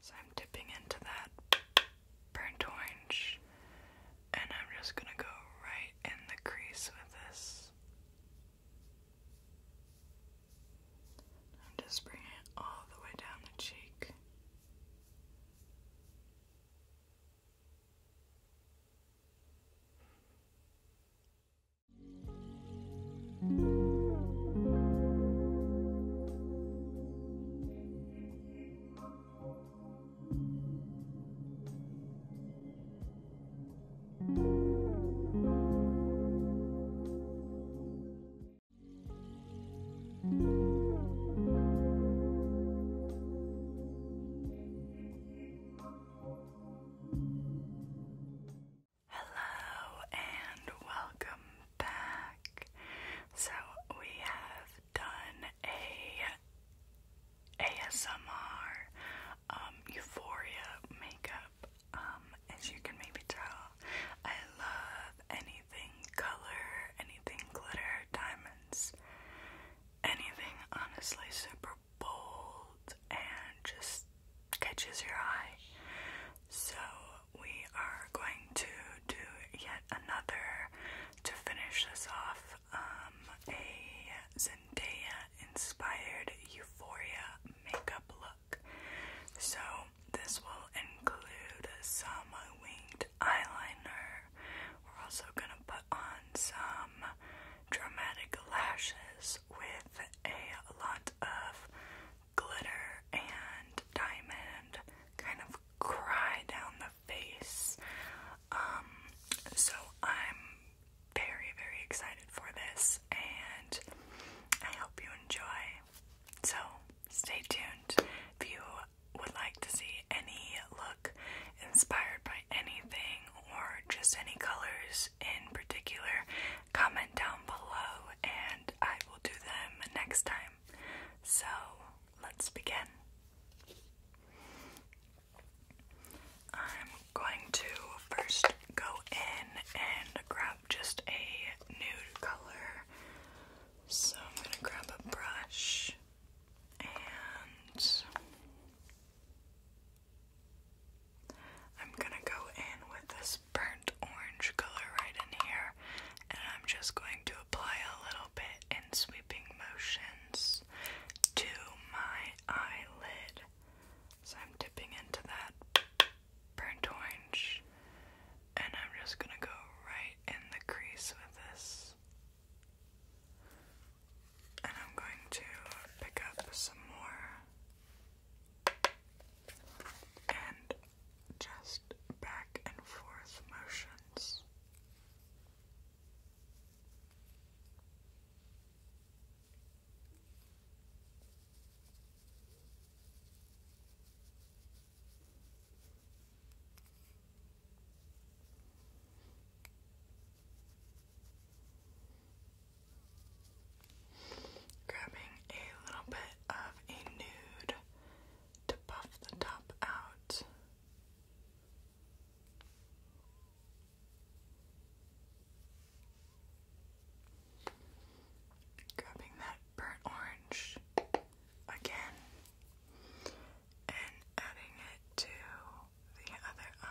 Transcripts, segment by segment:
So I'm dipping into that burnt orange and I'm just gonna go right in the crease with this. I'm just bringing it all the way down the cheek. Hello and welcome back. So we have done a ASMR um, Euphoria makeup. Um, as you can maybe tell, I love anything color, anything glitter, diamonds, anything honestly super bold and just catches your eye. So we are going to do yet another to finish this off um, a Zendaya inspired euphoria makeup look. So, this will include some winged eyeliner. We're also going to put on some dramatic lashes with a lot of glitter and diamond kind of cry down the face. Um, so I'm very, very excited for this and I hope you enjoy. So stay tuned. If you would like to see any look inspired by anything or just any colors in particular, comment down below and I will do them next time. So let's begin. I'm going to first go in and grab just a nude color. So I'm going to grab a brush and I'm going to go in with this burnt orange color right in here, and I'm just going to apply a little bit in sweeping motions to my eyelid. So I'm dipping into that burnt orange, and I'm just gonna go right in the crease with this. And I'm going to pick up some more and just back and forth motions. Grabbing a little bit of a nude to puff the top out. Grabbing that burnt orange again and adding it to the other eye.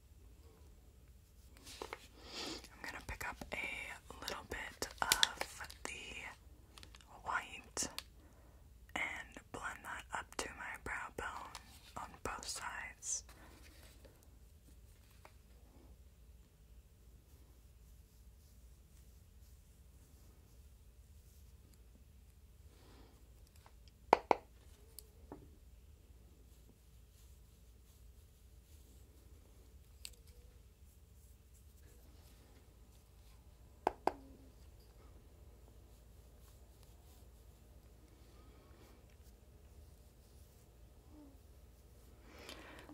I'm gonna pick up a little bit of the white and blend that up to my brow bone on both sides.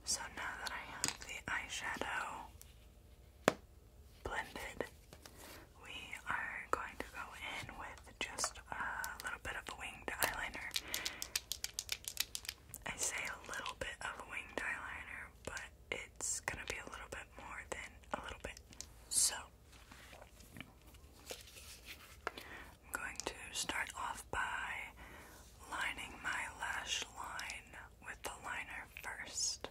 So now that I have the eyeshadow blended, we are going to go in with just a little bit of a winged eyeliner. I say a little bit of a winged eyeliner, but it's gonna be a little bit more than a little bit. So, I'm going to start off by lining my lash line with the liner first.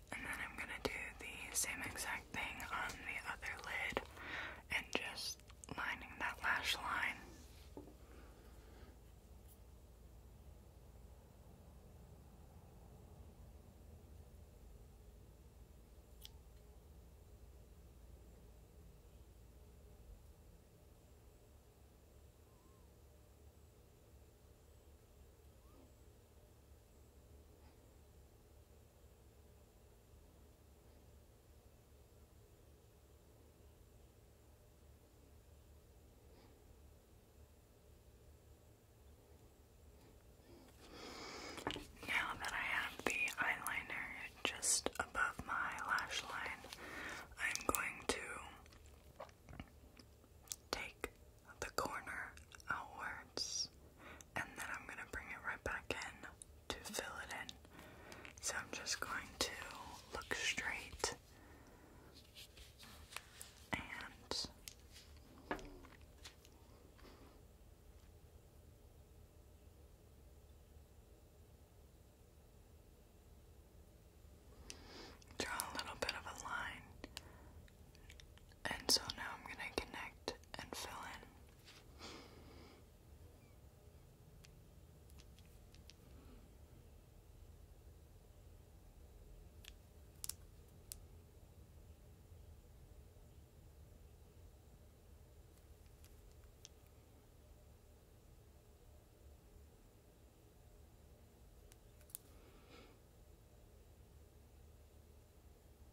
And then I'm gonna do the same exact thing on the other lid and just lining that lash line. Now that I have the eyeliner just above my lash line, I'm going to take the corner outwards and then I'm going to bring it right back in to fill it in. So I'm just going to look straight and draw a little bit of a line and so now I'm going to connect and fill in.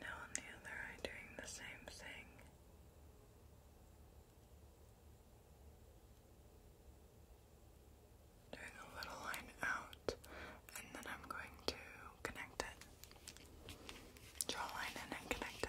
Now on the other eye, doing the same thing. Doing a little line out, and then I'm going to connect it. Draw a line in and connect it.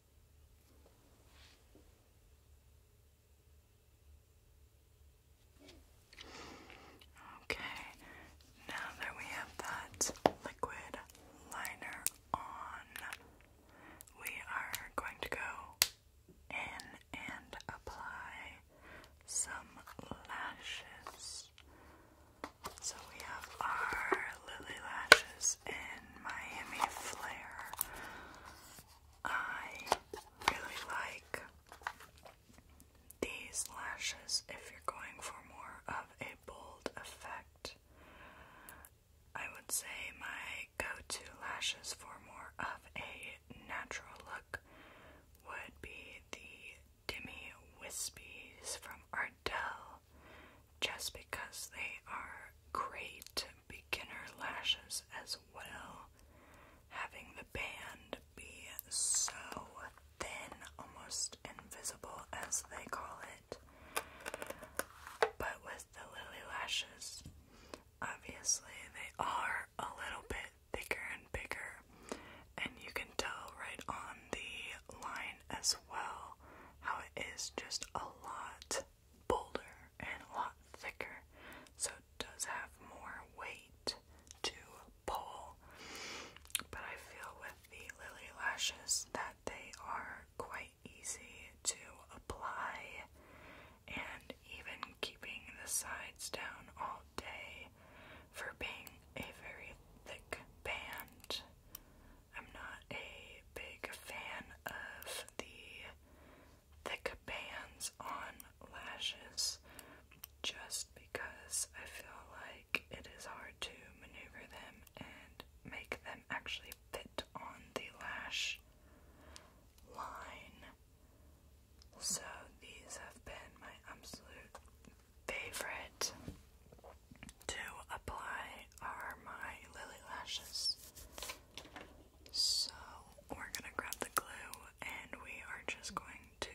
Okay, now that we have that liquid liner on, we are going to go in and apply some lashes. So we have our Lily Lashes in Miami Flare. I really like these lashes if you're going for more of a bold effect. I would say my go-to lashes for more of a natural look would be the Dimmy Wispies from Ardell, just because they are great beginner lashes as well. Having the band be so thin, almost invisible as they call it. But with the lily lashes, obviously they are a little bit thicker and bigger, and you can tell right on the line as well how it is just a lot bolder and a lot thicker, so it does have more weight to pull. But I feel with the Lily lashes that they are quite easy to apply, and even keeping the sides down all day for being a very thick band. I'm not a big fan of the thick bands on lashes just because I feel like it is hard to maneuver them and make them actually fit on the lash line. So these have been my absolute favorite to apply are my Lily lashes. So we're gonna grab the glue and we are just going to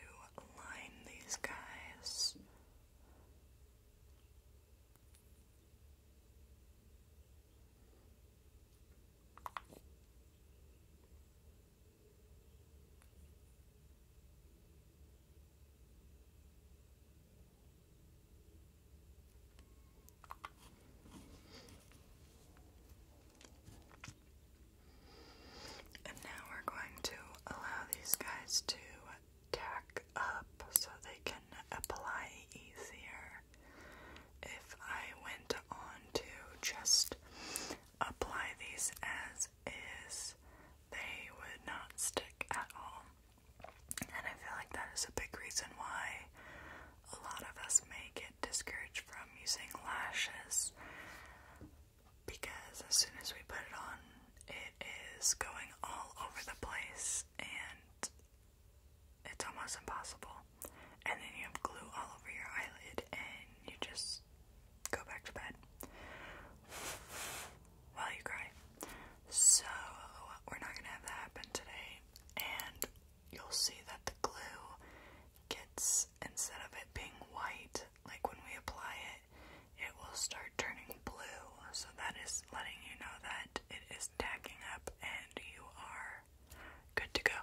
line these guys. And now we're going to allow these guys to tack up so they can apply easier. If I went on to just apply these as is, they would not stick at all. And I feel like that is a big reason why a lot of us may get discouraged from using lashes because as soon as we put it on, it is going all over the place and it's almost impossible. And then you have glue all over your eyelid and you just go back to bed while you cry. So, we're not gonna have that happen today. And you'll see that the glue gets, instead of it being white, like when we apply it, it will start turning blue. So that is letting you know that it is tacking up and you are good to go.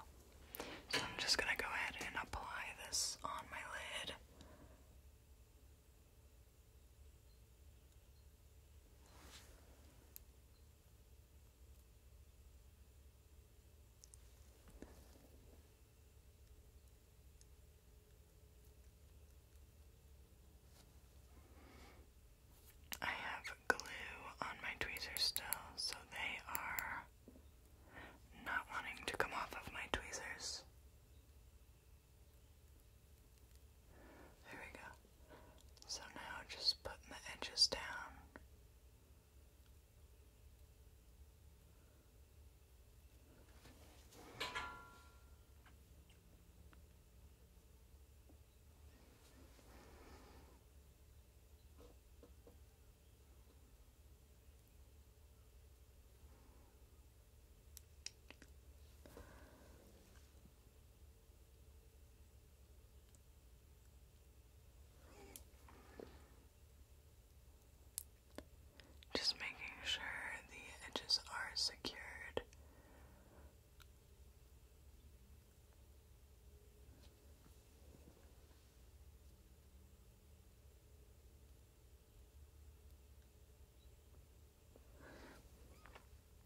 So I'm just going to go ahead and apply this on my lid. I have glue on my tweezers still, so they are not wanting to come off of my tweezers. There we go. So now just putting the edges down. Just making sure the edges are secured.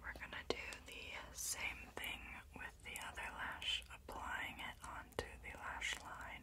We're going to do the same thing with the other lash, applying it onto the lash line.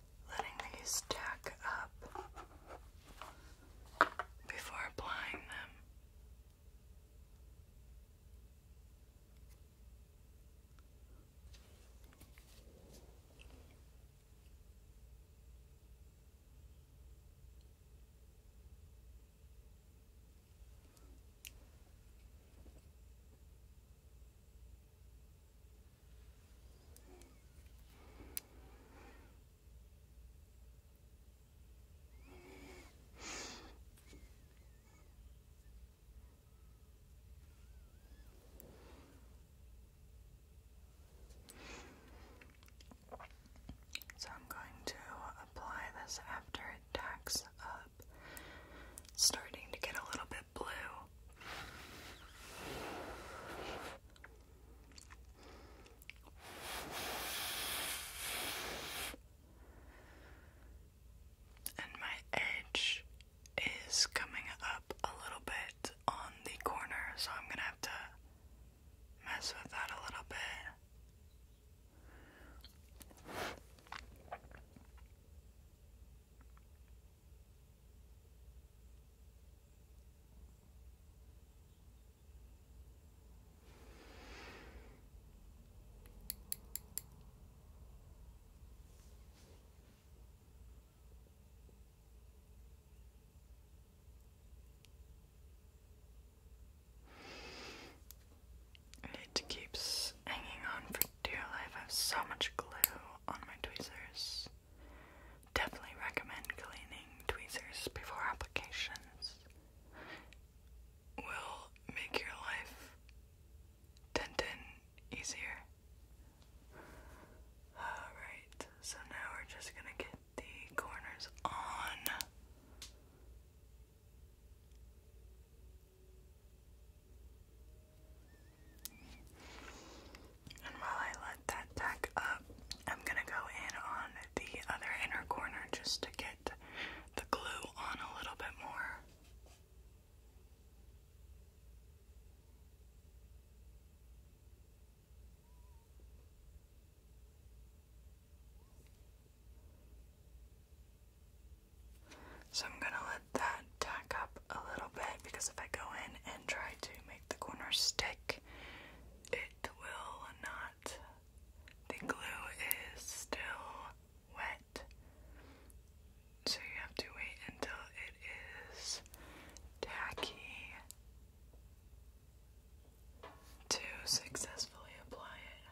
letting these stack up before applying them. So I'm going to apply this after it tacks up, starting to get a little bit blue. And my edge is coming up a little bit on the corner, so I'm gonna have to mess with that a little bit. It keeps hanging on for dear life. I have so much glue on my tweezers. Definitely recommend cleaning tweezers before applications. Will make your life ten ten easier. Alright, so now we're just gonna get the corners on. And while I let that tack up, I'm gonna go in on the other inner corner just to get the glue on a little bit more. So I'm going to let that tack up a little bit because if I go in and try to make the corner stick, it will not. The glue is still wet, so you have to wait until it is tacky to successfully apply it.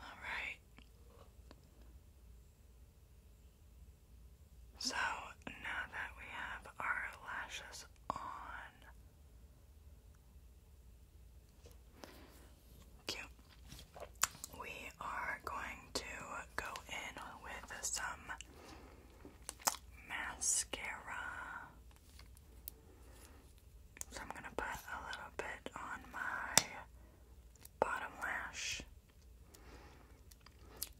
All right. So now that we have our lashes on, Cute. We are going to go in with some mascara. So I'm going to put a little bit on my bottom lash.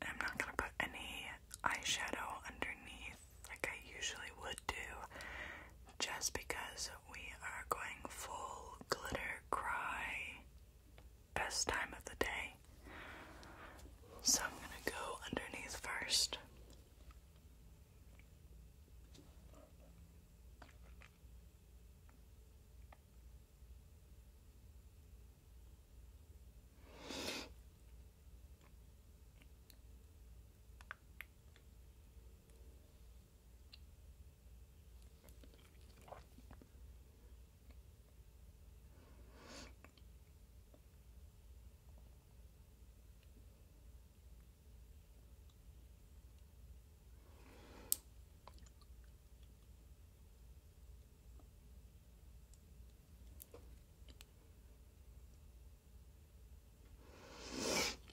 I'm not going to put any eyeshadow underneath like I usually would do, just because we are going full glitter cry. Best time of the day. So I'm gonna go underneath first.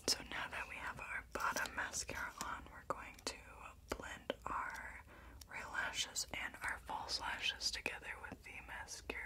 So now that we have our our bottom mascara on, we're going to blend our real lashes and our false lashes together with the mascara.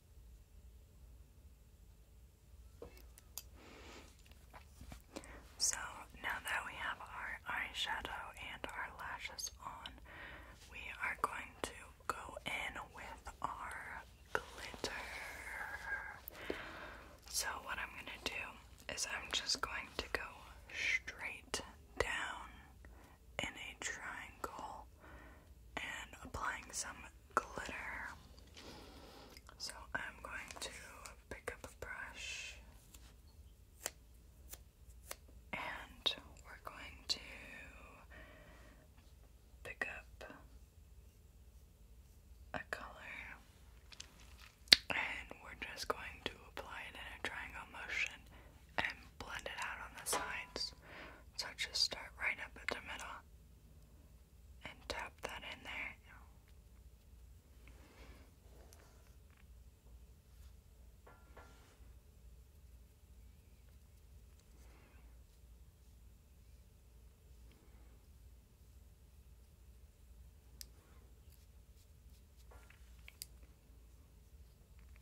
So now that we have our eyeshadow and our lashes on, we are going to go in with our glitter. So, what I'm going to do is I'm just going to go straight down in a triangle and applying some glitter. So I'm going to pick up a brush and we're going to pick up a color and we're just going to apply it in a triangle motion and blend it out on the sides. So just start right up at the middle and tap that in there.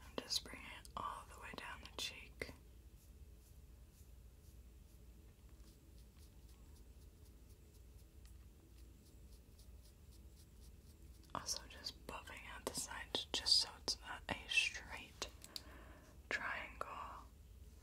I'm just bringing it all the way down the cheek. Also, just buffing out the sides just so it's not a straight triangle.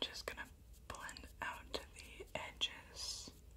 I'm just going to blend out the edges.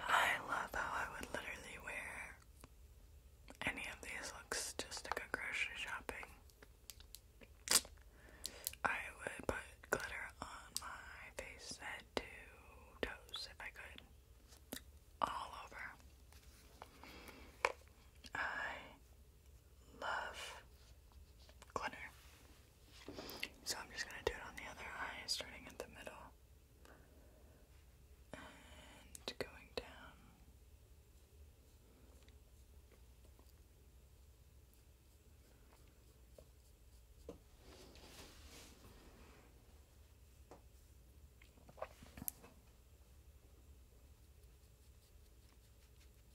I love how I would literally wear any of these looks just to go grocery shopping. I would put glitter on my face, head to toes if I could. All over. I love glitter. So I'm just gonna do it on the other eye, starting at the middle and going down.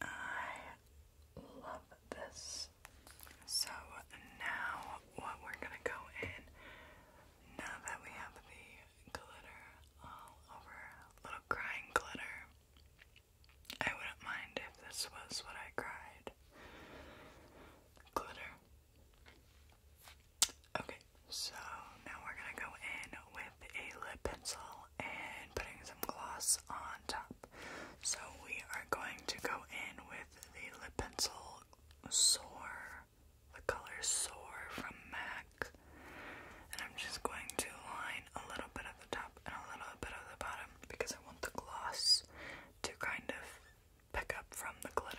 I love this. So now, what we're gonna go in, now that we have the glitter all over, little crying glitter, I wouldn't mind if this was what I cried. Glitter. Okay, so now we're gonna go in with a lip pencil and putting some gloss on top. So we are going to go in with the lip pencil Soar, the color Soar from MAC. And I'm just going to line a little bit at the top and a little bit at the bottom because I want the gloss to kind of pick up from the glitter.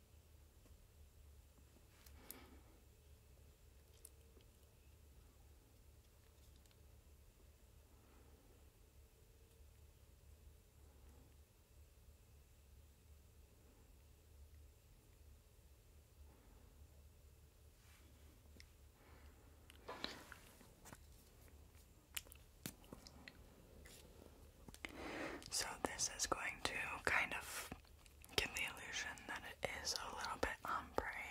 So, this is going to kind of give the illusion that it is a little bit ombre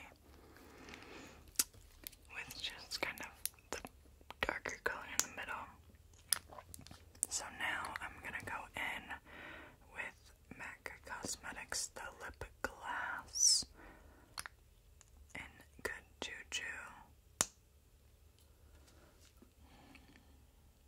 with just kind of the darker color in the middle. So now I'm gonna go in with MAC Cosmetics the Lip Glass in Good Juju.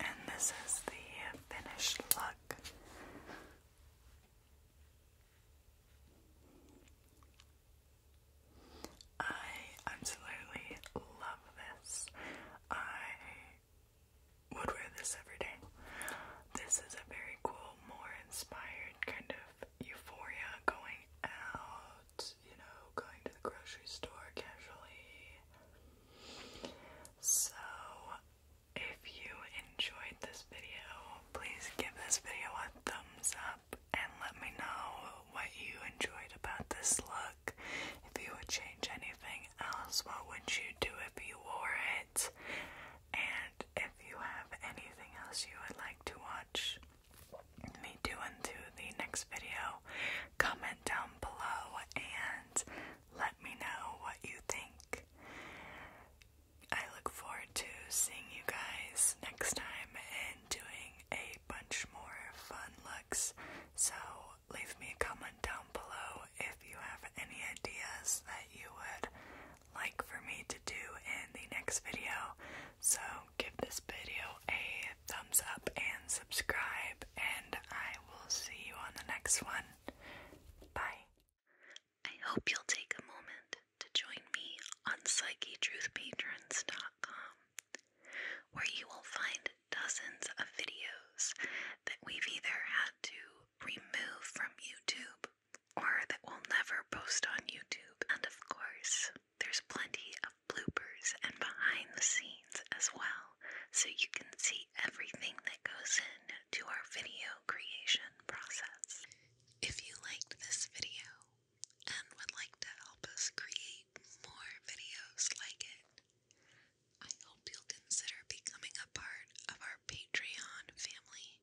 And this is the finished look. I absolutely love this. I would wear this every day. This is a very cool, more inspired kind of euphoria going out you know, going to the grocery store casually. So, if you enjoyed this video, please give this video a thumbs up and let me know what you enjoyed about this look. If you would change anything else, what would you do if you wore it? And if you have anything else you would like to watch, me doing to the next video. Comment down below and let me know what you think. I look forward to seeing you guys next time and doing a bunch more fun looks. So leave me a comment down below if you have any ideas that you would like for me to do in the next video. So give this video a thumbs up and subscribe, and I will see you on the next one. Bye. I hope you'll take a moment to join me on PsycheTruthPatrons.com, where you will find dozens of videos that we've either had to remove from YouTube or that we'll never post on YouTube, and of course, there's plenty of bloopers and behind the scenes as well, so you can see everything that goes in to our video creation process. If you liked this video and would like to help us create more videos like it, I hope you'll consider becoming a part of our Patreon family.